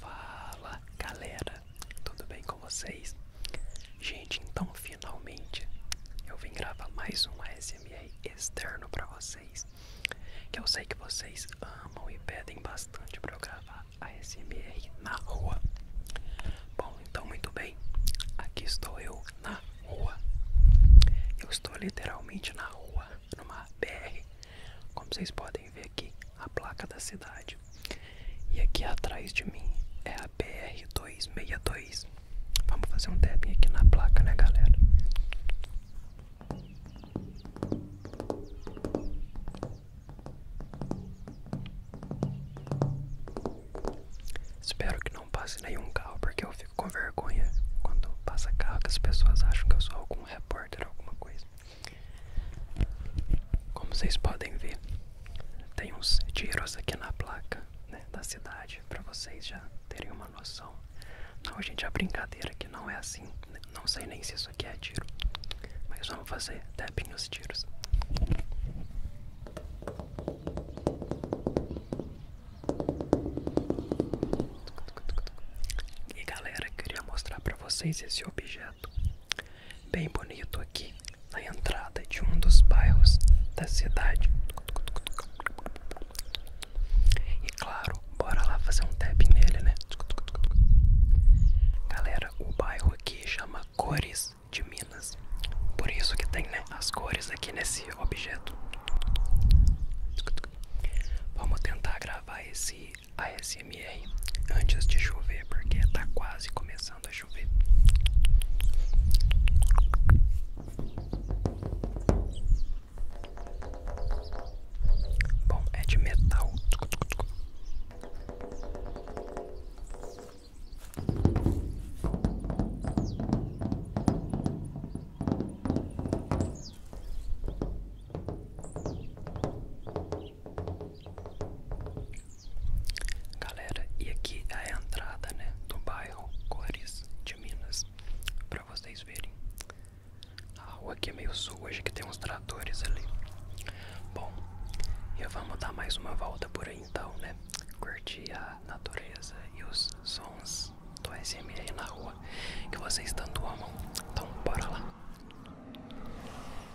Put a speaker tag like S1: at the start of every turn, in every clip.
S1: Fala galera, tudo bem com vocês? Gente, então finalmente eu vim gravar mais um ASMR externo para vocês. Que eu sei que vocês amam e pedem bastante para eu gravar ASMR na rua. Bom, então muito bem, aqui estou eu na rua. Eu estou literalmente na rua, numa BR. Como vocês podem ver aqui, a placa da cidade. E aqui atrás de mim é a BR 262. Vamos fazer um tapping aqui na placa, né, galera? Espero que não passe nenhum carro, porque eu fico com vergonha quando passa carro que as pessoas acham que eu sou algum repórter alguma coisa. Como vocês podem ver, tem uns tiros aqui na placa né, da cidade, para vocês já terem uma noção. Não, gente, a é brincadeira que não é assim. Não sei nem se isso aqui é tiro, mas vamos fazer tapping nos tiros. E galera, queria mostrar para vocês esse objeto bem bonito aqui na entrada de um dos bairros da cidade. E claro, bora lá fazer um tap nele, né? Galera, o bairro aqui chama Cores de Minas. Por isso que tem né, as cores aqui nesse objeto. Vamos tentar gravar esse ASMR antes de chover, porque está quase começando a chover. Bom, é de metal. Galera, e aqui é a entrada, né, do bairro Cores de Minas, para vocês verem. A rua aqui é meio sua, hoje que tem uns tratores ali. Bom, eu vamos dar mais uma volta por aí então, né? Curtir a natureza e os sons do SMR na rua que vocês tanto amam. Então, bora lá.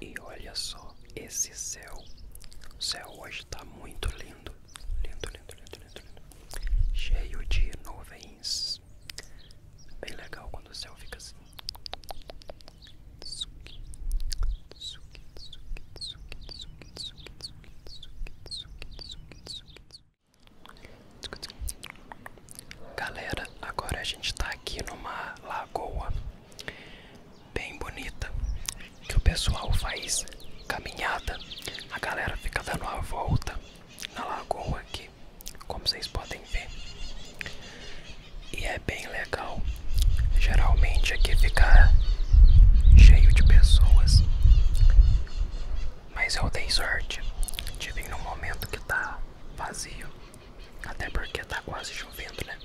S1: E olha só esse céu. O céu hoje está muito lindo. Lindo, lindo, lindo, lindo, lindo. Cheio de nuvens. Bem legal quando o céu fica assim. Galera, agora a gente tá aqui numa lagoa bem bonita que o pessoal faz caminhada. A galera fica dando uma volta na lagoa aqui, como vocês podem ver e é bem legal. Geralmente aqui fica cheio de pessoas, mas eu dei sorte de vir num momento que tá vazio, até porque tá quase chovendo, né?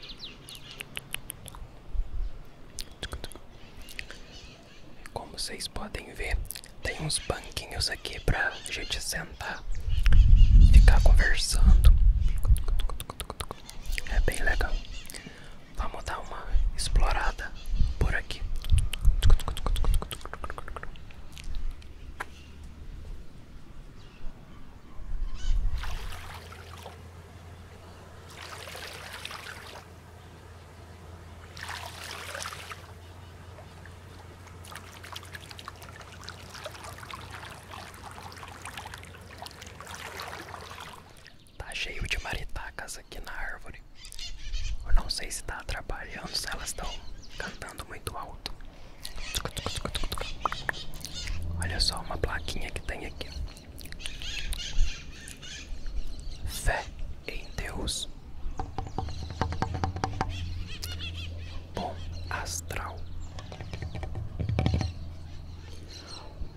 S1: Como vocês podem ver, tem uns banquinhos aqui pra gente sentar sentar, ficar conversando. É bem legal. Vamos dar uma explorada por aqui. Tá cheio de maritacas aqui na árvore. Eu não sei se tá atrapalhando, se elas estão cantando muito alto. Olha só uma plaquinha que tem aqui. Fé em Deus bom astral.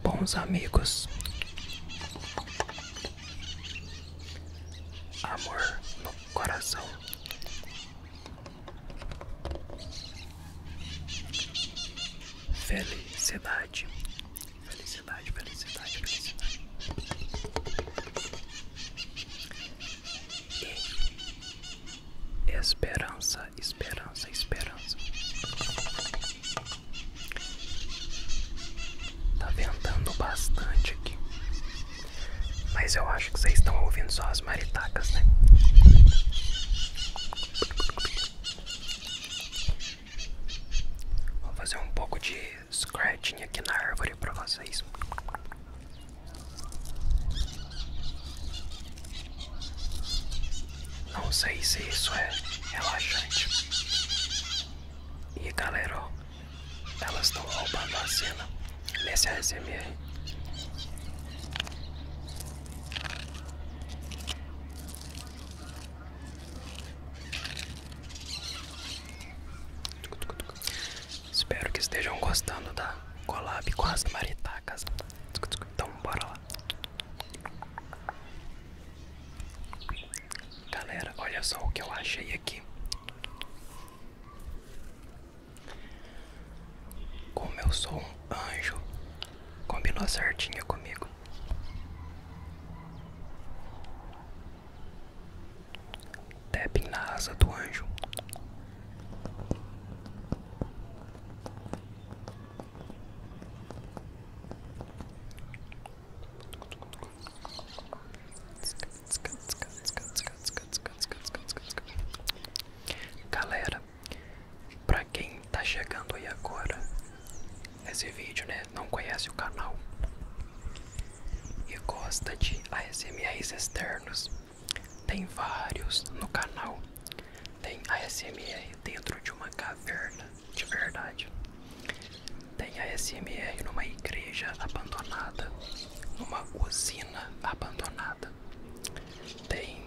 S1: Bons amigos. Amor no coração. Felicidade. Felicidade, felicidade, felicidade e esperança, esperança, esperança. Tá ventando bastante aqui. Mas eu acho que vocês estão ouvindo só as maritacas, né? Vou fazer um pouco de scratching aqui na árvore pra vocês. Não sei se isso é relaxante. E galera, elas estão roubando a cena nesse ASMR. Espero que estejam gostando da collab com as maritacas. Então, bora lá. Galera, olha só o que eu achei aqui. Como eu sou um anjo, combinou certinho comigo. Deb na asa do anjo. Galera, pra quem tá chegando aí agora esse vídeo, né? Não conhece o canal, e gosta de ASMR externos, tem vários no canal. Tem ASMR dentro de uma caverna, de verdade. Tem ASMR numa igreja abandonada, numa usina abandonada. Tem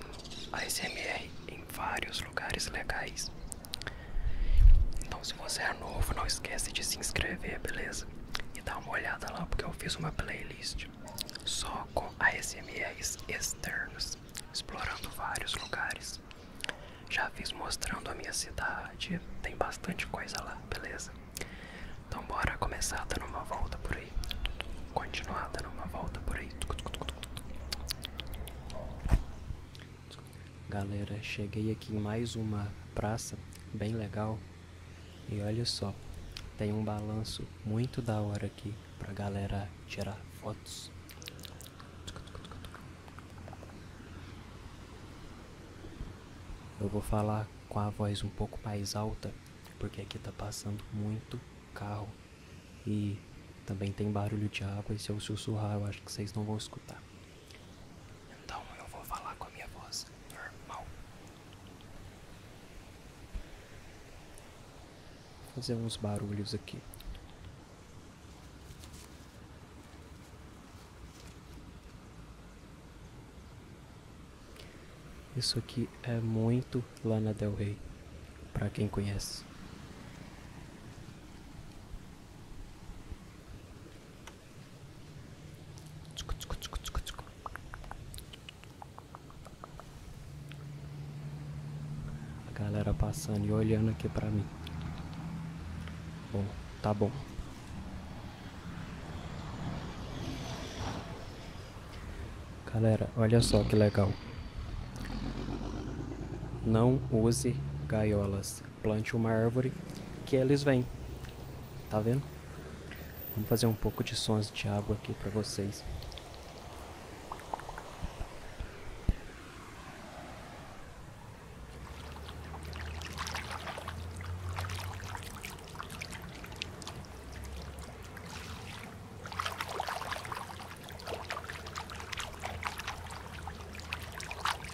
S1: ASMR em vários lugares legais. Então, se você é novo, não esquece de se inscrever, beleza? e dá uma olhada lá porque eu fiz uma playlist só com ASMRs externos, explorando vários lugares. Já fiz mostrando a minha cidade, tem bastante coisa lá, beleza? Então bora começar dando uma volta por aí, continuar dando uma volta por aí.
S2: Galera, cheguei aqui em mais uma praça bem legal e olha só, tem um balanço muito da hora aqui pra galera tirar fotos. Eu vou falar com a voz um pouco mais alta, porque aqui está passando muito carro e também tem barulho de água e se eu sussurrar eu acho que vocês não vão escutar. Então eu vou falar com a minha voz normal. Vou fazer uns barulhos aqui. Isso aqui é muito lá na Del Rey, para quem conhece. A galera passando e olhando aqui pra mim. Bom, tá bom. Galera, olha só que legal. Não use gaiolas plante uma árvore que eles vêm. Tá vendo? Vamos fazer um pouco de sons de água aqui para vocês.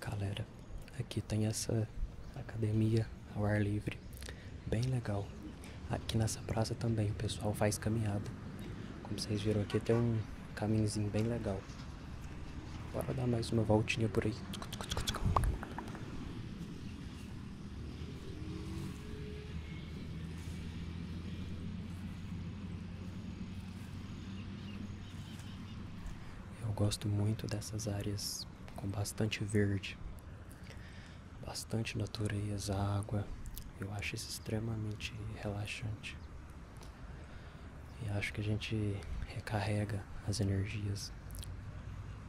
S2: Galera, aqui tem essa academia ao ar livre. Bem legal. Aqui nessa praça também o pessoal faz caminhada. Como vocês viram aqui tem um caminhozinho bem legal. Bora dar mais uma voltinha por aí. Eu gosto muito dessas áreas com bastante verde bastante natureza, água. Eu acho isso extremamente relaxante. E acho que a gente recarrega as energias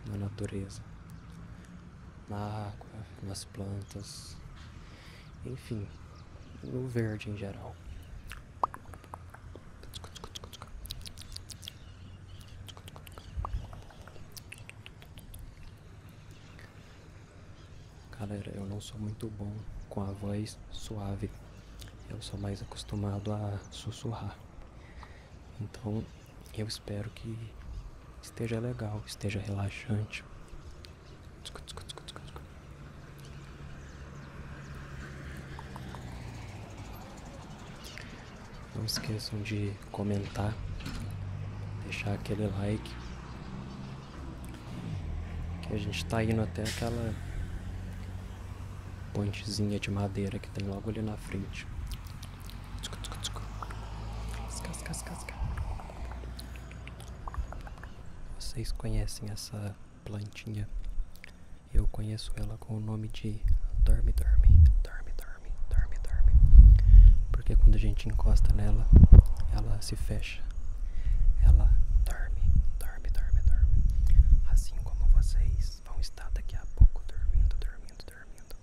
S2: na natureza, na água, nas plantas, enfim, no verde em geral. Galera, eu não sou muito bom com a voz suave. Eu sou mais acostumado a sussurrar. Então, eu espero que esteja legal, esteja relaxante. Não esqueçam de comentar, deixar aquele like. Que a gente está indo até aquela pontezinha de madeira que tem logo ali na frente. Vocês conhecem essa plantinha? Eu conheço ela com o nome de Dorme Dorme Dorme Dorme dorme, dorme, dorme. Porque quando a gente encosta nela, ela se fecha. Ela dorme, dorme, dorme, dorme. Assim como vocês vão estar
S1: daqui a pouco dormindo, dormindo, dormindo.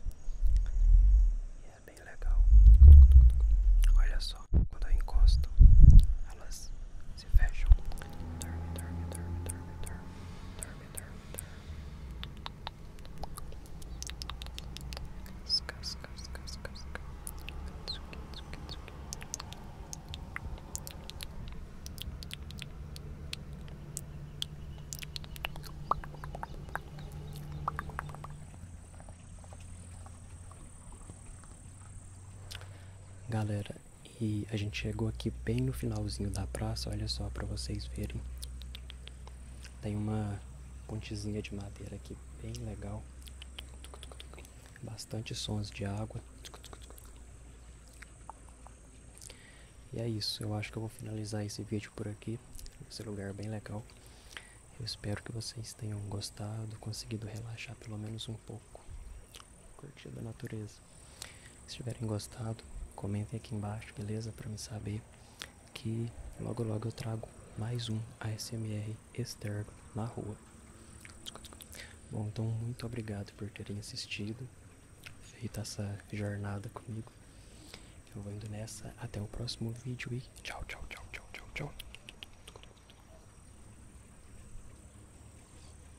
S1: E é bem legal. Olha só, quando eu encosto, elas se fecham. Dorme, dorme, dorme, dorme, dorme, dorme, dorme, dorme.
S2: Galera, e a gente chegou aqui bem no finalzinho da praça, olha só para vocês verem tem uma pontezinha de madeira aqui bem legal. Bastante sons de água. E é isso, eu acho que eu vou finalizar esse vídeo por aqui. Esse lugar bem legal. Eu espero que vocês tenham gostado, conseguido relaxar pelo menos um pouco. Curtido a natureza. Se tiverem gostado, comentem aqui embaixo, beleza? Para me saber que logo logo eu trago mais um ASMR externo na rua. Bom, então muito obrigado por terem assistido, feito essa jornada comigo. Eu vou indo nessa, até o próximo vídeo e tchau, tchau, tchau, tchau,
S1: tchau, tchau.